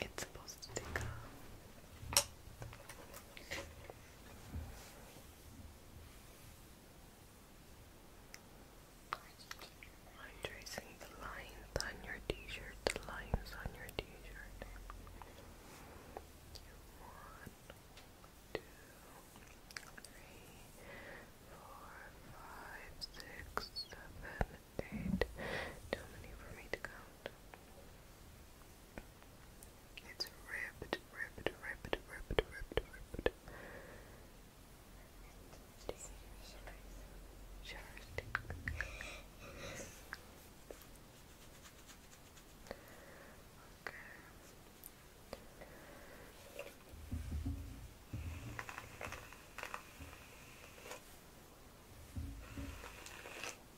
It's supposed to tickle. I'm tracing the lines on your t-shirt, the lines on your t-shirt. One, two, three, four, five, six, seven, eight. Too many for me to count. It's ripped, ripped, ripped, ripped, ripped, ripped. Sure. Okay. Okay.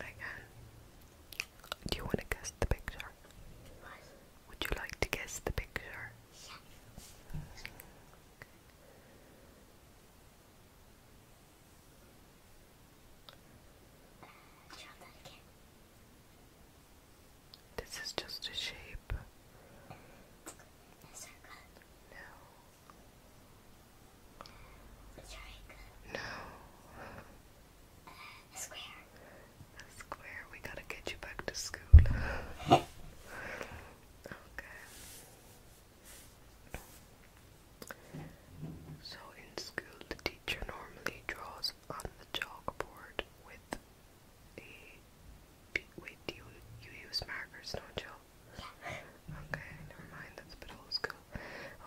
I can. Do you want to guess the picture? What? Would you like to guess the picture? Yeah. Try This is just a shape. No. No. square. square. We gotta get you back to school. okay. So in school, the teacher normally draws on the chalkboard with a. Wait, do you, you use markers, don't you? Yeah. Okay, never mind, that's a bit old school.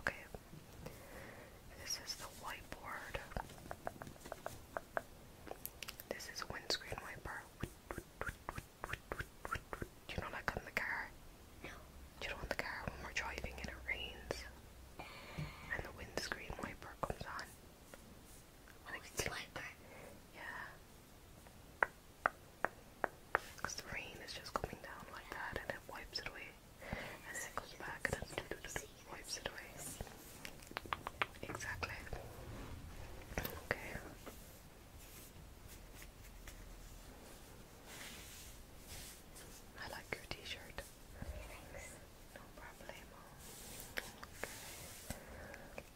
Okay, this is the whiteboard. This is windscreen wiper. Do you not like in the car? No. Do you know in the car when we're driving and it rains and the windscreen wiper comes on? Oh, like, it's Yeah. Because the rain is just coming down like that and it wipes it away. And it goes back and it wipes it away. Exactly. Okay. I like your t-shirt. Thanks. No problemo.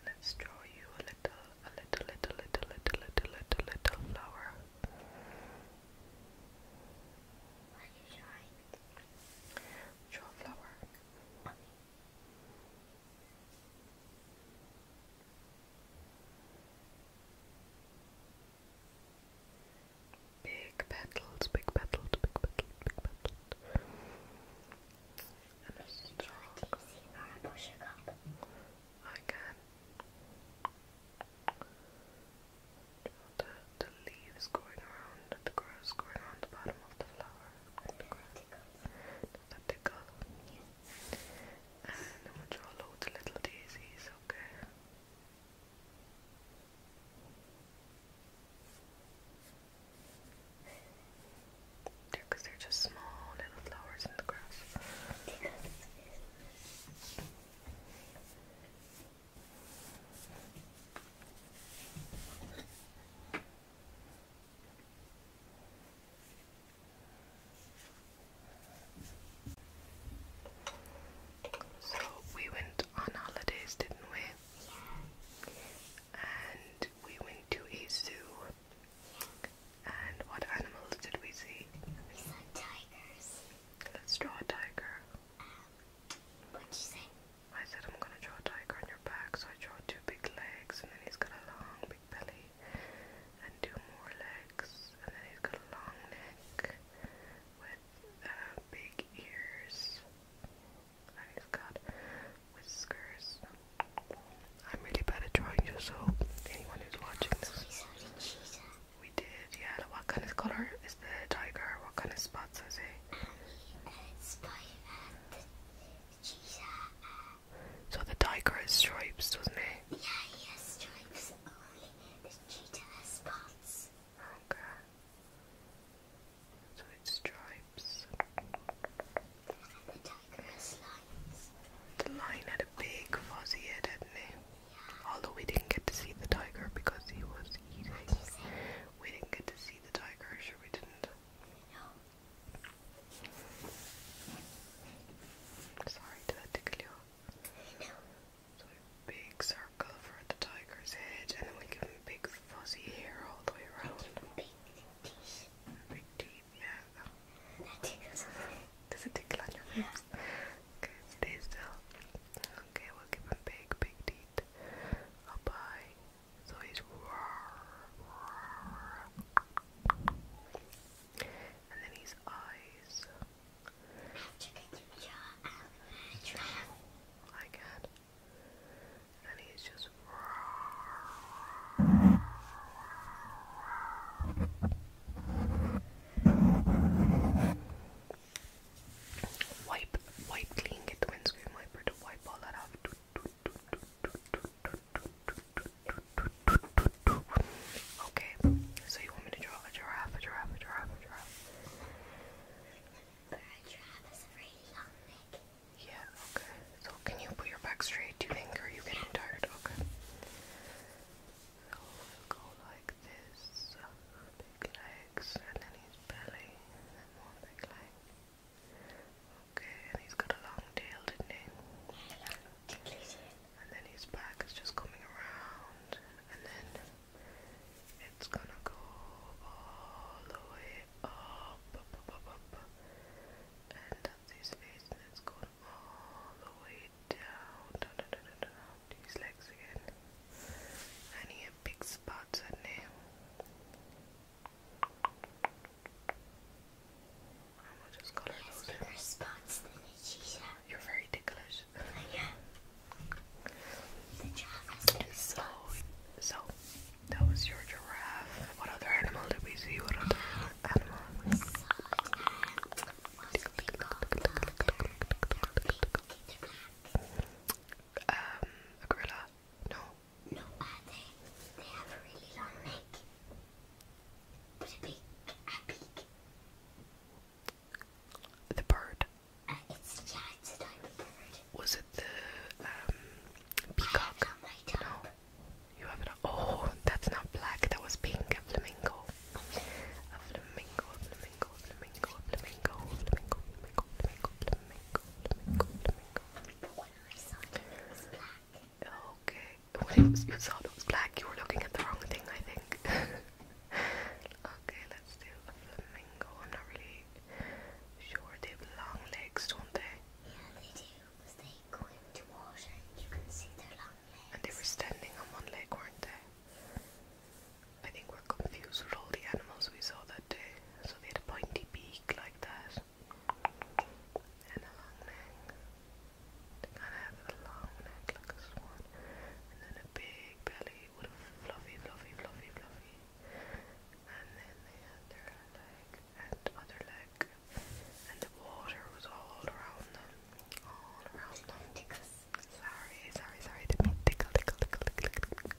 Let's draw you a little, a little, little, little, little, little, little, little flower. Are you drawing? Draw flower. Big petals, big petals, big petals, big petals. And a strong. I can. The, the leaves going around, the grass going around the bottom of the flower. And the grass. Does that tickle? Yes. And I'm gonna draw loads of little daisies, okay? Because they're just small little flowers in the grass. So we went on holidays, didn't we? And we went to a And what animals did we see? We saw tigers. Let's draw a tiger. what'd you say? I said I'm gonna draw a tiger on your back, so I draw two big legs, and then he's got a long and two more legs, and then he's got a long neck with uh, big ears, and he's got whiskers. I'm really bad at drawing so anyone who's watching this, we did. Yeah, what kind of color is the tiger? What kind of spots is uh, it? So the tiger has stripes, doesn't he? Yeah, he has stripes, only the cheetah has spots. Okay. So it's stripes. And the tiger has lines. The lion had a big fuzzy head, hadn't he? Although we didn't get to see the tiger because he was eating. We didn't get to see the tiger, sure we didn't. Sorry, did that tickle you? No. So a big circle for the tiger's head, and then we give him big fuzzy hair all the way around. Big teeth. Big teeth, yeah. Does it tickle on your lips? Yeah. Okay, stay still. Okay, we'll give him big, big teeth. Up So he's and then his eyes. I can. And he's just. Wipe, wipe clean, get the windscreen wiper to wipe all that off. Okay, so you want me to draw a giraffe, a giraffe, a giraffe, a giraffe? Yeah, okay. So can you put your back straight, do you think, are you getting tired? Okay. So we'll go like this. Big legs, and then his belly, and then big legs. Okay, and he's got a long tail, didn't he? and then his back is just coming around, and then it's gonna go all the way up, and that's his all the way down, down, legs again, and he has big spots on him. I will just color those in. response than a shisha. You're very ticklish. Uh, yeah. The so, so, that was your giraffe. What other animal did we see? What other animal? We saw um, a gorilla? No. No, uh, they, they have a really long neck. Uh, the bird. yeah, uh, it's a diamond bird. Was it the um, peacock? No, you have it. Oh, that's not black. That was pink. A flamingo. A flamingo. A flamingo. A flamingo. A flamingo. A flamingo. Flamingo. Flamingo. Flamingo. Flamingo. Flamingo. Flamingo. Okay. When you thought it was black, you were looking at the wrong thing, I think. okay, let's do a flamingo. I'm not really sure. They have long legs, don't they? Yeah, they do. they go into water and you can see their long legs. And they were standing on one leg, weren't they? I think we're confused with all the animals we saw that day. So they had a pointy beak like that. And a long neck. They kind of have a long neck like a swan, and then a big belly with a fluffy, fluffy, fluffy, fluffy, and then they had their leg and other leg, and the water was all around them, all around them. Sorry, sorry, sorry, did me tickle, tickle, tickle, tickle, tickle.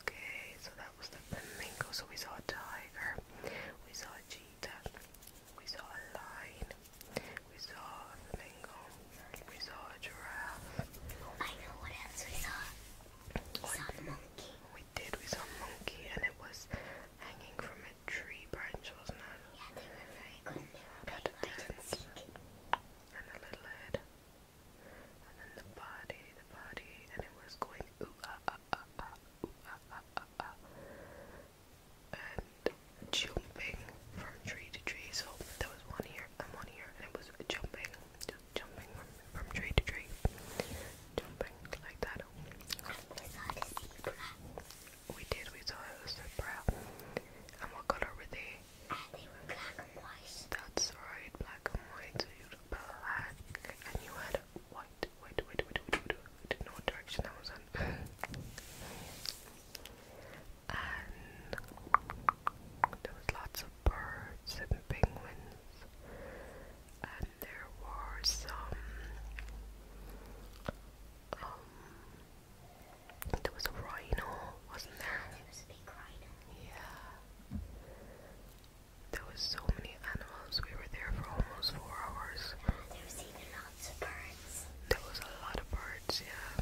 Okay, so that was the flamingo. So we saw a tiger, we saw a cheetah that we saw a lion, we saw a flamingo, we saw a giraffe. I know what else we saw. We saw a monkey. We did, we saw a monkey and it was hanging from a tree branch, wasn't it? Yeah, they were very good. Had a dance and a little head. And then the body, the body, and it was going ooh ah ah ah ah ooh ah ah ah ah and jumping from tree to tree. So there was one here and one here, and it was jumping, jumping from, tree to tree, jumping like that. We did. We saw it was a brown. And what color were they? I think black and white. That's right, black and white. So you black, and you had what? Wait, wait, wait, wait, wait, wait. No direction I was on. and there was lots of birds and penguins. And there were some. Um. There was a rhino, wasn't there? There was a big rhino. Yeah. There was so many animals. We were there for almost four hours lots There was a lot of birds, yeah.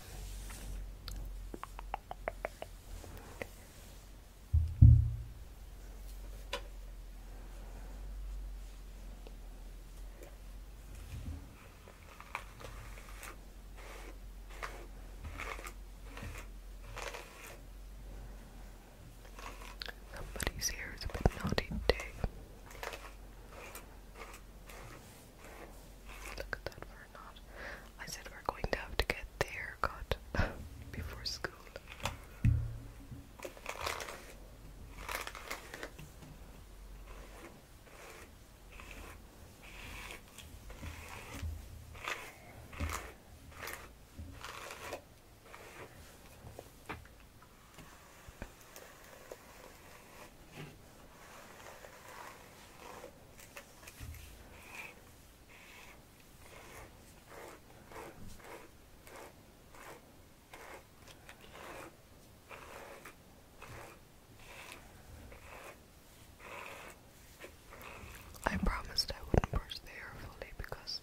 Somebody's here is a naughty today. Look at that for knot. I said we're going to have to get the cut before school. I promised I wouldn't brush the hair fully because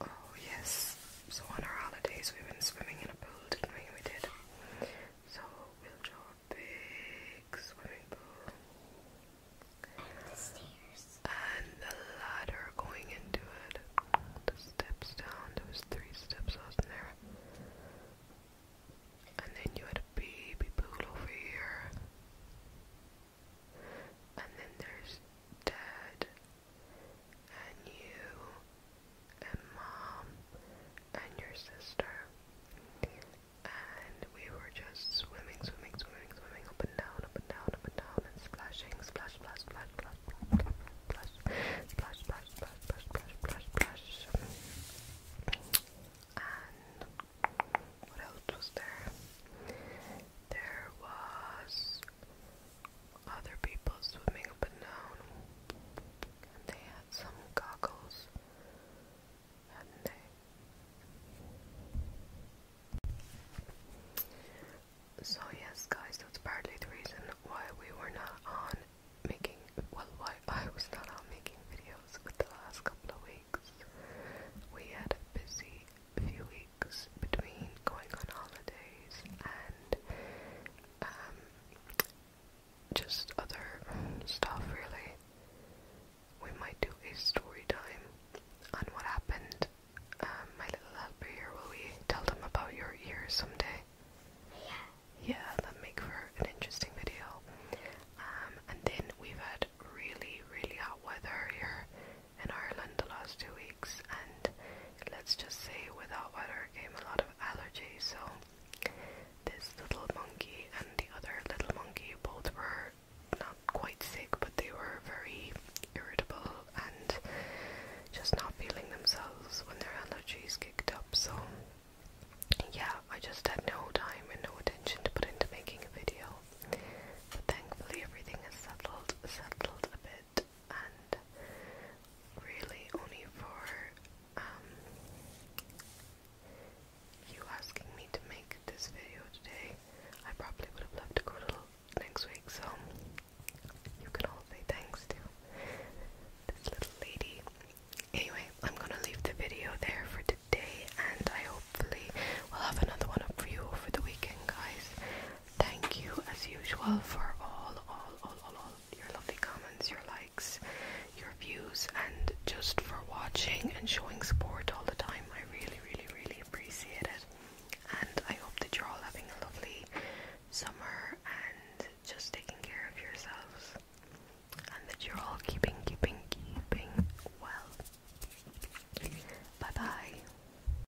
Oh, yes. So, on our holidays, we went swimming in a pool, didn't we? We did. So, we'll a big swimming pool. And the stairs. And the ladder going into it. The steps down. There was three steps, wasn't there? And then you had a baby pool over here and then there's dad and you and mom and your sister and we were just swimming, swimming, swimming, swimming up and down, up and down, up and down and splashing, splash, splash, splash, splash, splash, splash, splash, splash, splash, splash, splash, and what else was there? There was other people swimming up and they had some goggles, So yes, guys, that's partly the reason why we were not on making, well, why I was not on making videos with the last couple of weeks. We had a busy few weeks between going on holidays and um, just other stuff, really. We might do a story time on what happened. Um, my little helper here, will we tell them about your ears someday? Yeah. Yeah, that make for an interesting video. Um, and then we've had really, really hot weather here in Ireland the last two weeks, and let's just say without weather came a lot of allergies. So this little monkey and the other little monkey both were not quite sick, but they were very irritable and just not feeling themselves when their allergies kicked up. So yeah, I just had no time and no attention to put into making a video. But thankfully everything has settled settled a bit and really only for um, you asking me to make this video today. I probably would have loved to go little next week, so you can all say thanks to this little lady. Anyway, I'm gonna leave the video there for today, and I hopefully will have another one up for you over the weekend, guys. Thank you, as usual, for all, all, all, all, all your lovely comments, your likes, your views, and just for watching and showing support all the time. I really, really, really appreciate it. And I hope that you're all having a lovely summer and just taking care of yourselves. And that you're all keeping, keeping, keeping well. Bye bye.